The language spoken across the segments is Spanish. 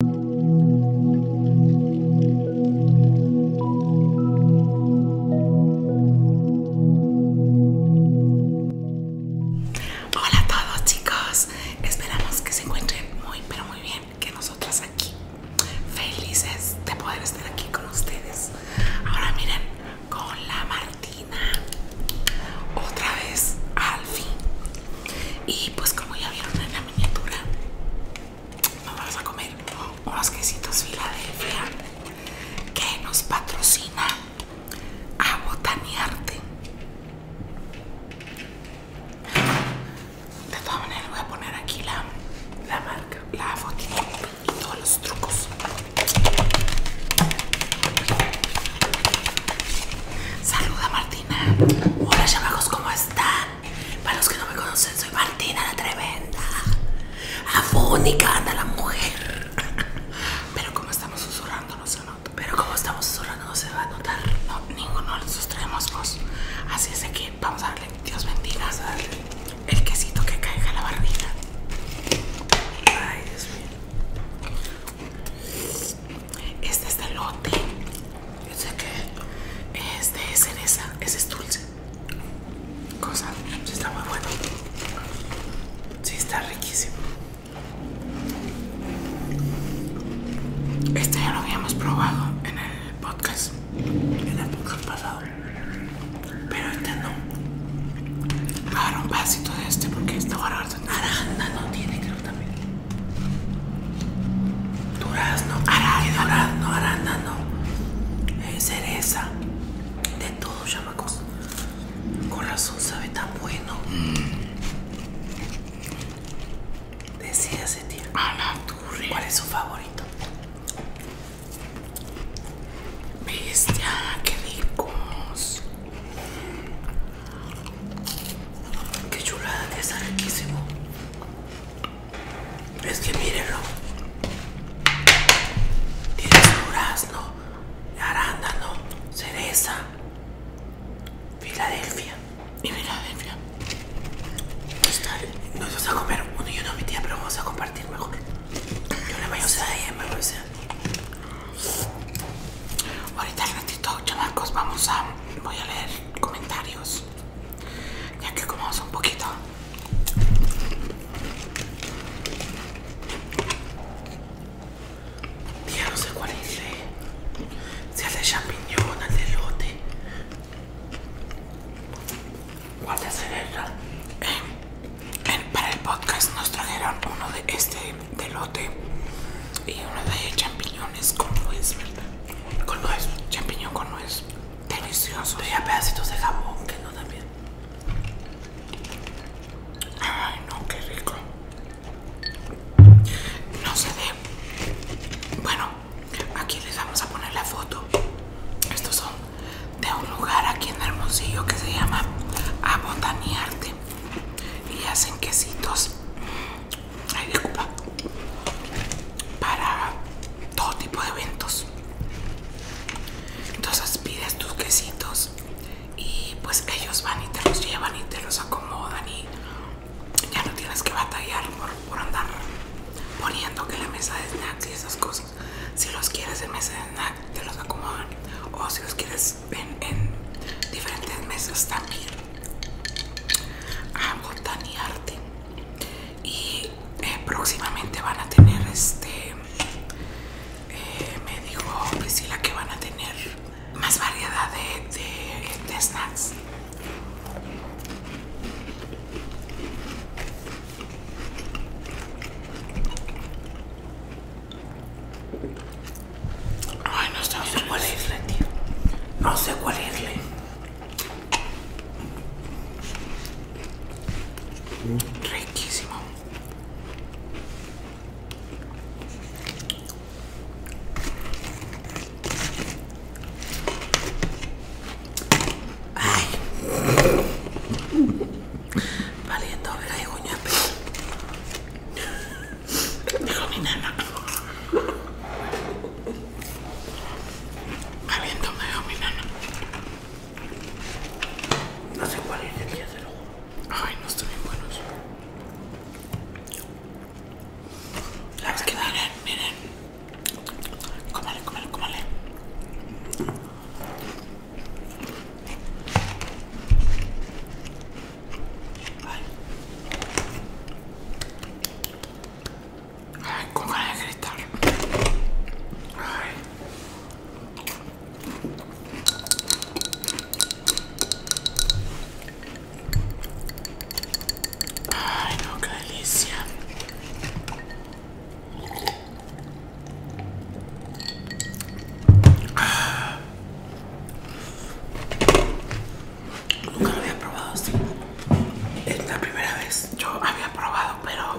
Hola a todos chicos, esperamos que se encuentren muy pero muy bien, que nosotras aquí felices de poder estar aquí con ustedes. Ahora miren, con la Martina, otra vez al fin. Y pues como ya vieron en miniatura. vamos a comer unos quesitos Filadelfia que nos patrocina a Botanearte. De todas maneras, voy a poner aquí la, marca, la fotito y todos los trucos. Saluda Martina. Hola, chamacos, ¿cómo para los que no me conocen, soy Martina la Tremenda. Afónica anda la mujer. Pero como estamos susurrando no se Pero como estamos susurrando no se va a notar. ninguno de los extremos, Así es que vamos a darle, Dios bendiga, el quesito que caiga en la barbilla. Ay, Dios mío este es de lote sé que este es cereza ese es dulce cosa si está muy bueno sí está riquísimo este ya lo habíamos probado en el podcast el podcast pasado pero este no agarra un vasito de este porque esta naranja no tiene creo también durazno, arándano, arándano, cereza, de todo, chamacos. Corazón sabe tan bueno. Mm. Decía Decídase, tío. A la ¿Cuál es su favorito? Bestia, qué ricos. Qué chulada que está riquísimo. Es que mírenlo. Tiene durazno, arándano, cereza, Filadelfia. Y Filadelfia. Nos vamos a comer uno y uno, mi tía, pero vamos a compartir mejor. Yo le mayonesa a ella, ti. Ahorita al ratito, chamacos, vamos a... Voy a leer comentarios ya que comemos un poquito ya no sé cuál es eh. si es de champignon de lote cuál es eh, para el podcast nos trajeron uno de este de y una de champiñones con nuez, ¿verdad? Con nuez, champiñón con nuez. Delicioso. Tenía pedacitos de jabón que no también. Ay, no, qué rico. No se ve. Bueno, aquí les vamos a poner la foto. Estos son de un lugar aquí en Hermosillo que se llama Abotanearte y hacen quesitos ay, para todo tipo de eventos. Entonces pides tus quesitos y pues ellos van y te los llevan y te los acomodan y ya no tienes que batallar por, andar poniendo que la mesa de snacks y esas cosas. Si los quieres en mesa de snack te los acomodan o si los quieres en diferentes mesas también a botaniarte y eh, próximamente van a tener este eh, me dijo Priscila que van a tener más variedad de snacks Ay, no, sé, no sé cuál isla, tío. No sé cuál isla. Mm. Riquísimo. Ay. Valiendo, verga, Dijo mi nana Caliento me dijo mi nana No sé cuál es el día de luego. Ay, no están bien buenos. La es que miren, miren. Cómale, cómale, cómale. Ay. Ay, con ganas de gritar. Ay. Ay, no, qué delicia. Nunca lo había probado así. Es la primera vez. Yo había probado, pero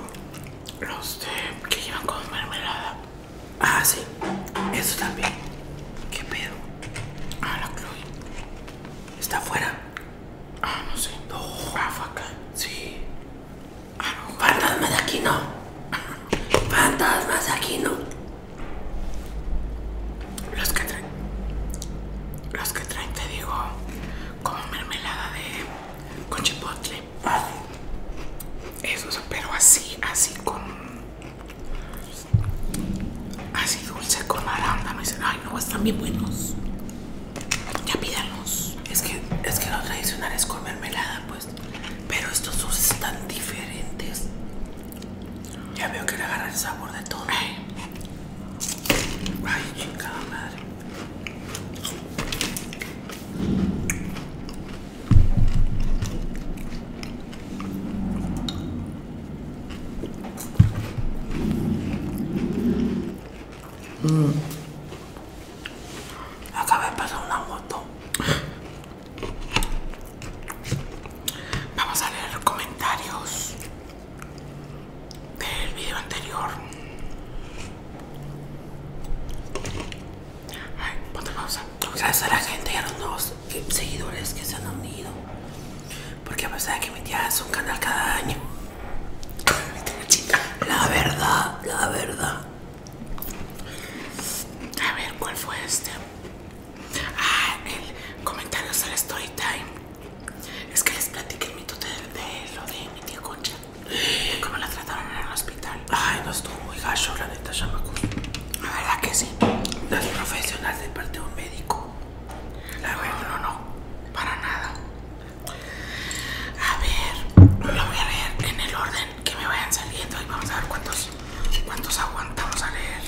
los de, que llevan con mermelada. Ah, sí. Eso también. ¿Qué pedo? Ah, la Chloe. ¿Está afuera? Ah, no sé. No. acá. Sí. Ah, Fantasmas de aquí no. Fantasmas de aquí no. Los que traen, los que traen, te digo, como mermelada de con chipotle. Eso, pero así, así con, así dulce con naranja. Me dicen, ay no, están bien buenos. Ya pídanlos Es que, es que lo tradicional es con mermelada, pues. Pero estos dos están diferentes. Ya veo que le agarra el sabor de todo. Ay, chicas, de pasar una moto. Vamos a leer comentarios del video anterior. Ay, ponte pausa. Gracias a la gente y a los nuevos seguidores que se han unido. Porque a pesar de que mi un canal cada año. La verdad, la verdad. A ver, ¿cuál fue este? Ah, el comentario al story time. Es que les platiqué el mito de, de lo de mi tía Concha. De cómo la trataron en el hospital. Ay, no estuvo muy gacho, la neta, chamaco. La verdad que sí. No es profesional de parte de un médico. La no, no, no. Para nada. A ver, lo voy a leer en el orden que me vayan saliendo y vamos a ver cuántos ¿Cuántos aguantamos a leer?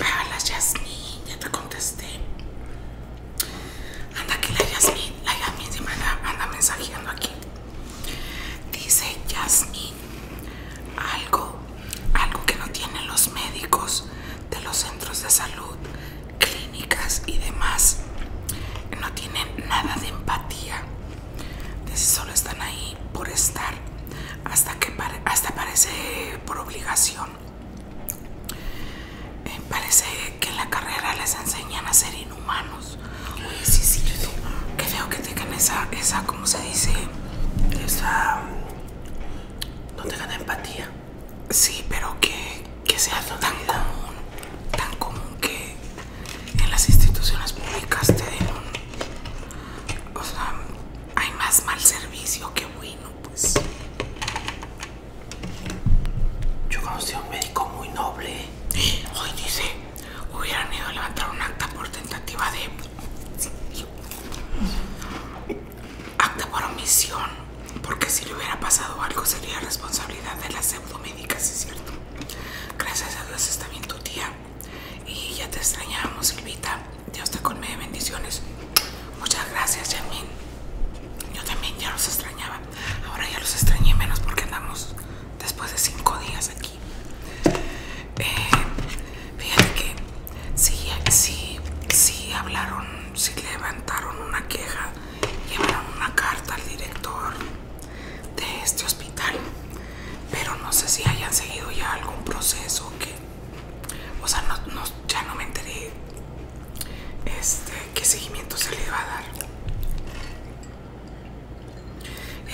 Ah, la ya te contesté. Anda aquí la Jasmine, la Yasmín se anda mensajeando aquí. Dice Jasmine algo, algo que no tienen los médicos de los centros de salud, clínicas y demás. No tienen nada de empatía. De si solo están ahí por estar, hasta que hasta parece por obligación. Eh, parece que en la carrera les enseñan a ser inhumanos. Oye, sí, sí, que veo que tengan esa, esa, ¿cómo se dice? Esa... No tengan empatía. Sí, pero que, que sea tan común, tan común que en las instituciones públicas te dieron, o sea, hay más mal servicio que bueno, pues. Yo conocí a un médico muy noble. Hoy dice, hubieran ido a levantar un acta por tentativa de... Acta por omisión, porque si le hubiera pasado algo sería responsabilidad de las pseudomédicas, ¿es cierto? Gracias a Dios está bien tu tía. Y ya te extrañamos, Silvita. Dios te colme bendiciones. Muchas gracias, Yamin. Yo también ya los extrañaba. Ahora ya los extrañé menos porque andamos después de cinco días aquí. Eh, fíjate que sí, sí, hablaron, si levantaron una queja, llevaron una carta al director de este hospital pero no sé si hayan seguido ya algún proceso que o sea no, ya no me enteré este qué seguimiento se le va a dar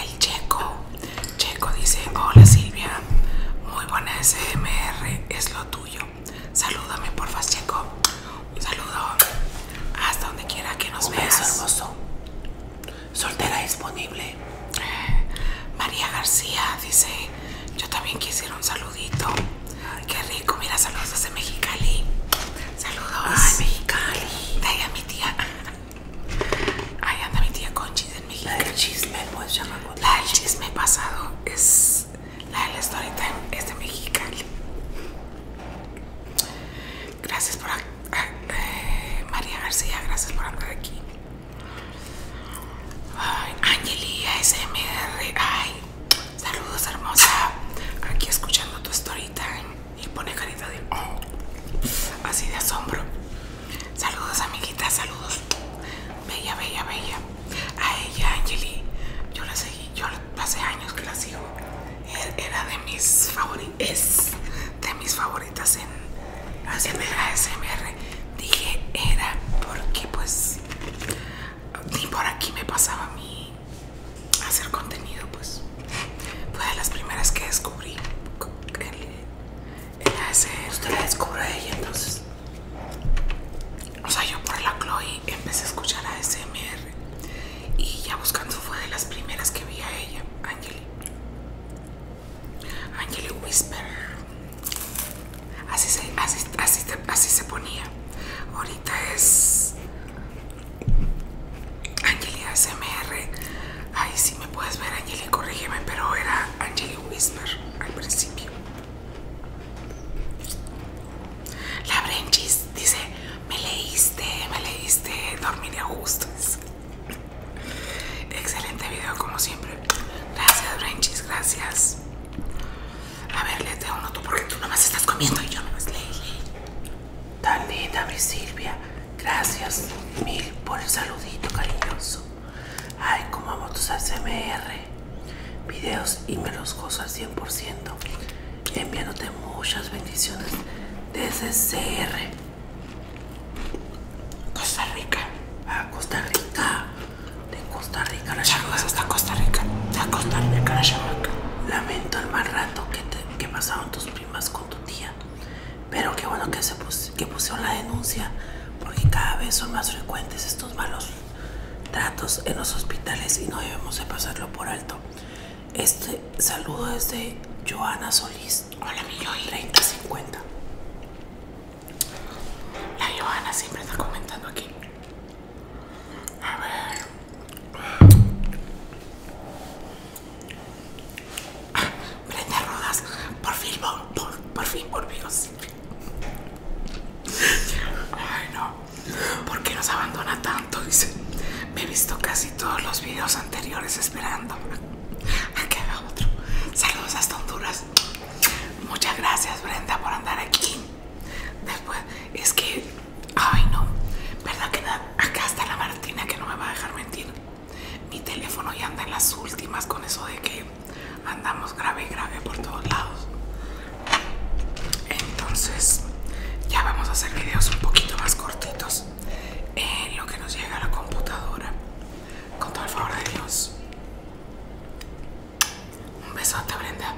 el checo checo dice hola Silvia muy buena SMR es lo tuyo salúdame porfa checo un saludo hasta donde quiera que nos veas hermoso soltera disponible. María García dice, yo también quisiera un saludito. Ay, qué rico, mira, saludos desde Mexicali. Saludos. de Mexicali. De ahí a mi tía. Ahí anda mi tía Conchi desde Mexicali. La del chisme, pues, La del chisme pasado es la del storytime story time, es de Mexicali. Gracias por... Eh, María García, gracias por andar aquí. Ay, Angeli ASMR, ay, saludos hermosa. Aquí escuchando tu story y pone carita de... Oh, así de asombro. Saludos amiguita, saludos. Bella, bella, bella. A ella, Angeli, yo la seguí, yo pasé años que la sigo. Era de mis favoritos es de mis favoritas en hacer ASMR. Dije era porque pues ni por aquí me pasaba a mí hacer contenido, pues fue de las primeras que descubrí el, Usted la de ella entonces. O sea, yo por la Chloe empecé a escuchar ASMR y ya buscando fue de las primeras que vi a ella, Angeli. Angeli Whisper. Así se, así, se ponía. Ahorita es Angeli ASMR. Ahí sí me puedes ver, Angeli, corrígeme, pero era Angeli Whisper al principio. La Brenchis dice, me leíste, me leíste, dormiré a gustos. Excelente video como siempre. Gracias, Renchis, gracias. A ver, le tengo uno tú porque tú nomás estás comiendo y yo nomás leí. Tan linda, mi Silvia. Gracias mil por el saludito cariñoso. Ay, como amo tus ASMR videos y me los gozo al 100% enviándote muchas bendiciones desde CR Costa Rica a Costa Rica de Costa Rica la hasta Costa Rica Costa la chamaca Lamento el mal rato que, pasaron tus primas con tu tía pero qué bueno que se que pusieron la denuncia porque cada vez son más frecuentes estos malos tratos en los hospitales y no debemos de pasarlo por alto este saludo es de Joana Solís. Hola, mi Joy. 3050. La Joana siempre está comentando aquí. A ver. Brenda ah, Rodas. Por fin, por, fin, por fin. Ay, no. ¿Por qué nos abandona tanto? Me he visto casi todos los videos anteriores esperando. Aquí va otro. Saludos hasta Honduras. Muchas gracias, Brenda, por andar aquí. Después, es que, ay no, verdad que acá está la Martina que no me va a dejar mentir. Mi teléfono ya anda en las últimas con eso de que andamos grave y grave por todos lados. Entonces, ya vamos a hacer videos un poquito más cortitos en lo que nos llega a la computadora. Con todo el favor de Dios. Un besote, Brenda.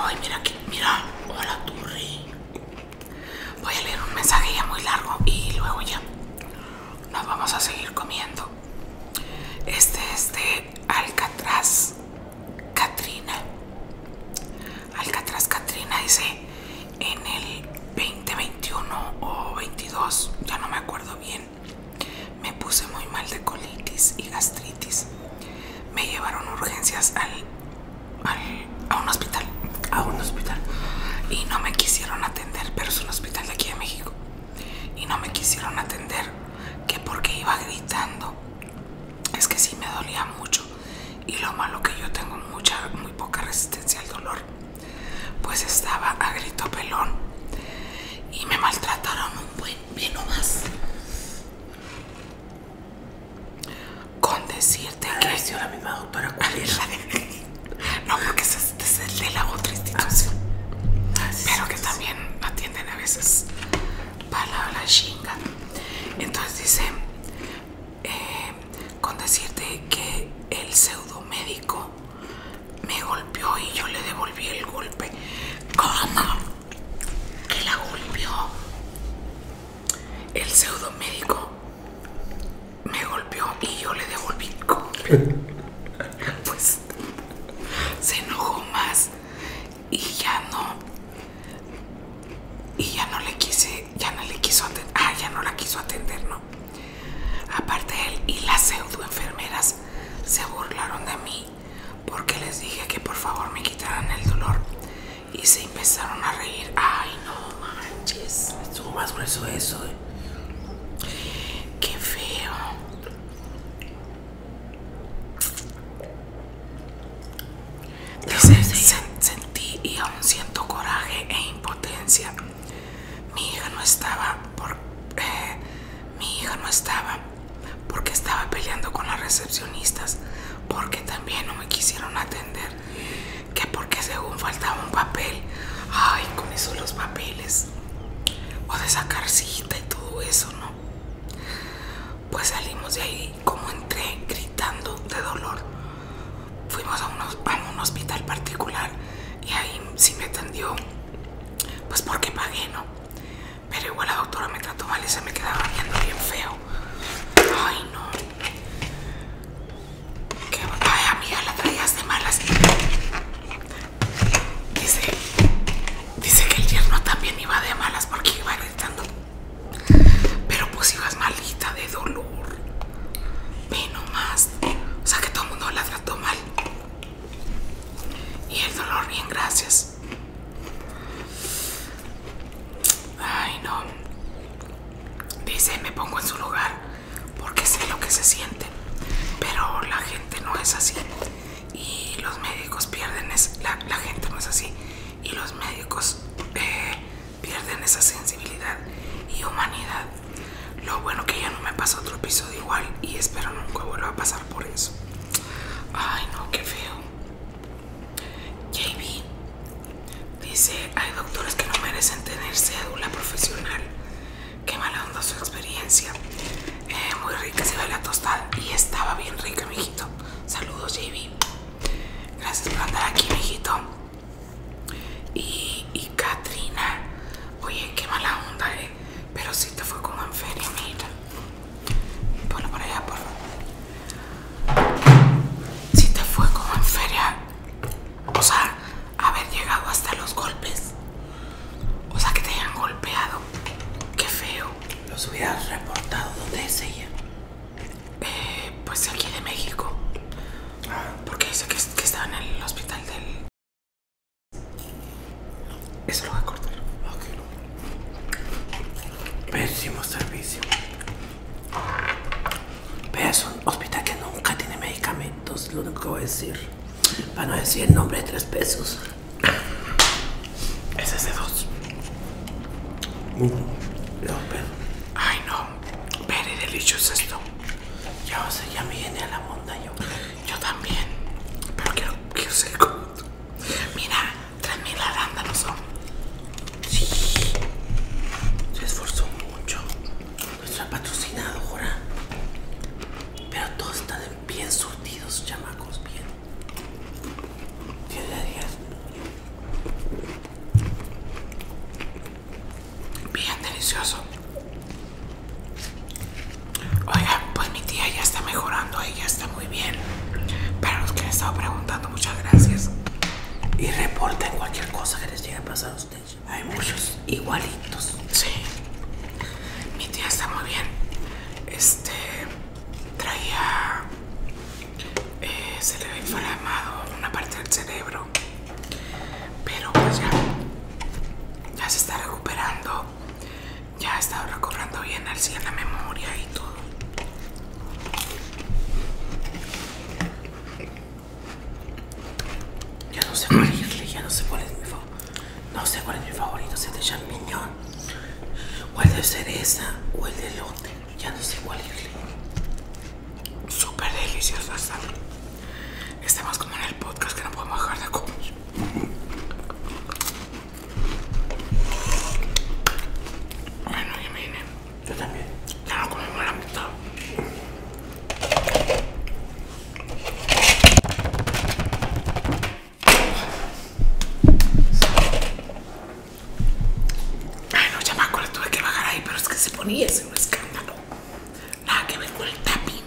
Ay, mira aquí, mira. Hola, Turri. Voy a leer un mensaje ya muy largo y luego ya nos vamos a seguir comiendo. Este es Alcatraz Katrina. Alcatraz Katrina dice en el 2021 o 22, ya no me acuerdo bien. Me puse muy mal de colitis y gastritis. Me llevaron urgencias al, a un hospital, a un hospital y no me quisieron atender, pero es un hospital de aquí de México y no me quisieron atender, que porque iba gritando. Es que sí me dolía mucho y lo malo que yo tengo mucha, muy poca resistencia al dolor. Pues estaba a grito pelón y me maltrataron un buen vino más. Con decirte que que... La misma doctora No, porque se este es de la otra institución. Ah, Pero que también atienden a veces para la chinga. Entonces dice, eh, con decirte que el pseudomédico me golpeó y yo le devolví el golpe. ¿Cómo? Que la golpeó. El pseudomédico me golpeó y yo le devolví el golpe. Pues se enojó más y ya no, y ya no le quise, ya no le quiso atender, ah, ya no la quiso atender, ¿no? Aparte él y las pseudo enfermeras se burlaron de mí porque les dije que por favor me quitaran el dolor y se empezaron a reír. Ay, no manches, estuvo más grueso eso. ¿eh? Qué feo sentí y aún siento coraje e impotencia. Mi hija no estaba por, eh, mi hija no estaba porque estaba peleando con las recepcionistas, porque también no me quisieron atender, que porque según faltaba un papel. Ay, con eso los papeles. Pues, o de sacar cita y todo eso, ¿no? Pues salimos de ahí como entré gritando de dolor. Fuimos a, un hospital particular y ahí sí me atendió, pues porque pagué, ¿no? Pero igual la doctora me trató mal y se me quedaba viendo bien feo. Ay, no. Ay, amiga, la traías de malas. Dice, dice que el yerno también iba de malas porque iba gritando. Pero pues ibas malita de dolor. Ve nomás. O sea que todo el mundo la trató mal. Y el dolor, bien, gracias. Ay, no. Dice, me pongo en su lugar porque sé lo que se siente. Pero la gente no es así y los médicos pierden, es, la, gente no así, y los médicos eh, pierden esa sensibilidad y humanidad. Lo bueno que ya no me pasa otro episodio igual y espero nunca vuelva a pasar por eso. Ay, no, qué feo. JB dice, hay doctores que no merecen tener cédula profesional qué mala onda su experiencia. Eh, muy rica se ve la tostada y estaba bien rica, mijito. Saludos, JB. Gracias por andar aquí, mijito. Y, y Katrina, oye, qué mala onda, eh. Pero si te fue como en feria, mira. Ponlo por allá, por favor. Sí te fue como en feria. O sea, haber llegado hasta los golpes. O sea, que te hayan golpeado. Qué feo. ¿Los hubieras reportado? ¿Dónde es ella? Eh, pues aquí de México. Ah. Porque dice que, estaba en el hospital del... Eso lo voy a cortar. Pésimo servicio. Pero es un hospital que nunca tiene medicamentos, lo único que voy a decir. Para no decir el nombre de tres pesos. Ese es de dos. Ay mm, no, pero... Ay, no. Very delicious esto. Ya, ya me viene a la monda yo. Yo también. Pero quiero, quiero ser Mira, 3000 mil son. Sí. Se esforzó mucho. patrocinado, patrocinadora. Pero todo está de bien surtidos, chamacos, bien. Dios de Bien delicioso. Oigan, pues mi tía ya está mejorando, ya está muy bien. Para los que me estado preguntando, muchas gracias. Y reporten cualquier cosa que les llegue a pasar a ustedes. Hay muchos igualitos. Sí. Mi tía está muy bien. Este traía se le ve inflamado una parte del cerebro. Pero pues ya, ya se está recuperando. Ya está recobrando bien al cielo, la memoria y todo. Ya no sé cuál irle, ya no sé por qué... mi no sé cuál es mi favorito, si es de champiñón, o el de cereza, o el de lote. Ya no sé cuál es. Súper deliciosa Está más como en el podcast que no podemos dejar de comer. Bueno, yo me vine. Yo también. Ya no comemos la mitad. Ay, no, ya me acuerdo tuve que bajar ahí, pero es que se ponía ese un escándalo. Nada que ver con el tapi.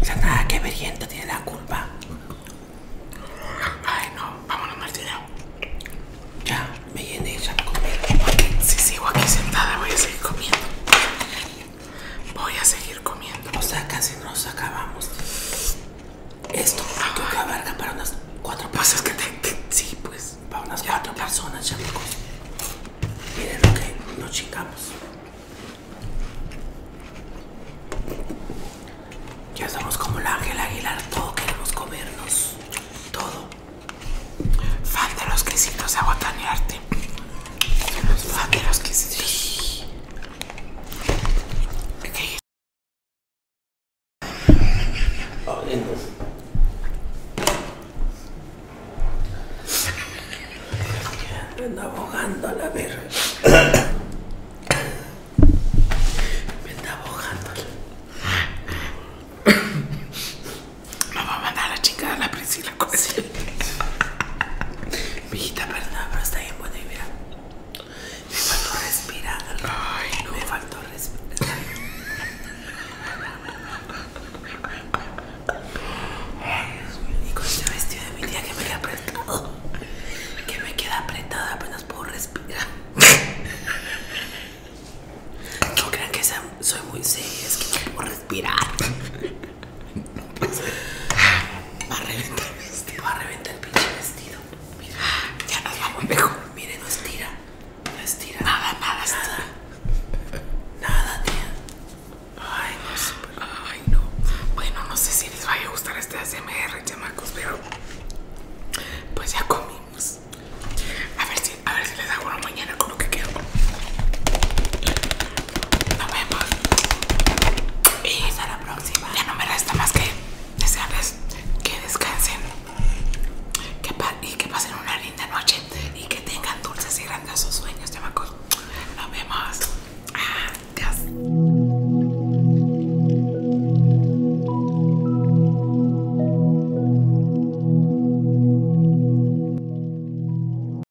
O sea, nada que ver, gente, tiene la culpa. Ay, no, vámonos, Martina. Ya, me llené ya comí. Si sigo aquí sentada, voy a seguir comiendo. Voy a seguir comiendo. O sea, casi nos acabamos. Esto creo que abarca para unas cuatro pasos pues que te, sí, pues. Para unas cuatro personas, Miren lo que nos chingamos. Ya somos como el ángel Aguilar, todo queremos comernos. Todo. Fan de los crisitos a botanearte. Los vaqueros que Anda abogando la verga. Me va a mandar a la chica a la Priscila con Mijita, perdona pero está bien buena y mira. Me faltó respirar. Me faltó respirar. Y con este vestido de mi tía que me queda apretado. Que me queda apretado, apenas puedo respirar. No crean que soy muy seria, es que no puedo respirar. Va a reventar el vestido. Va a reventar el pinche vestido. Mira. Ya nos vamos mejor. Mire, no estira. No estira. Nada, nada, nada. Nada, tía. Ay, no pues, Ay, no. Bueno, no sé si les vaya a gustar este ASMR, chamacos, pero. Pues ya comimos. A ver si, a ver si les hago una mañana con lo que quedó. Nos vemos. Y hasta la próxima. Ya no me resta más que desearles que descansen que y que pasen una linda noche y que tengan dulces y grandiosos sueños, chamacos. Nos vemos. Adiós.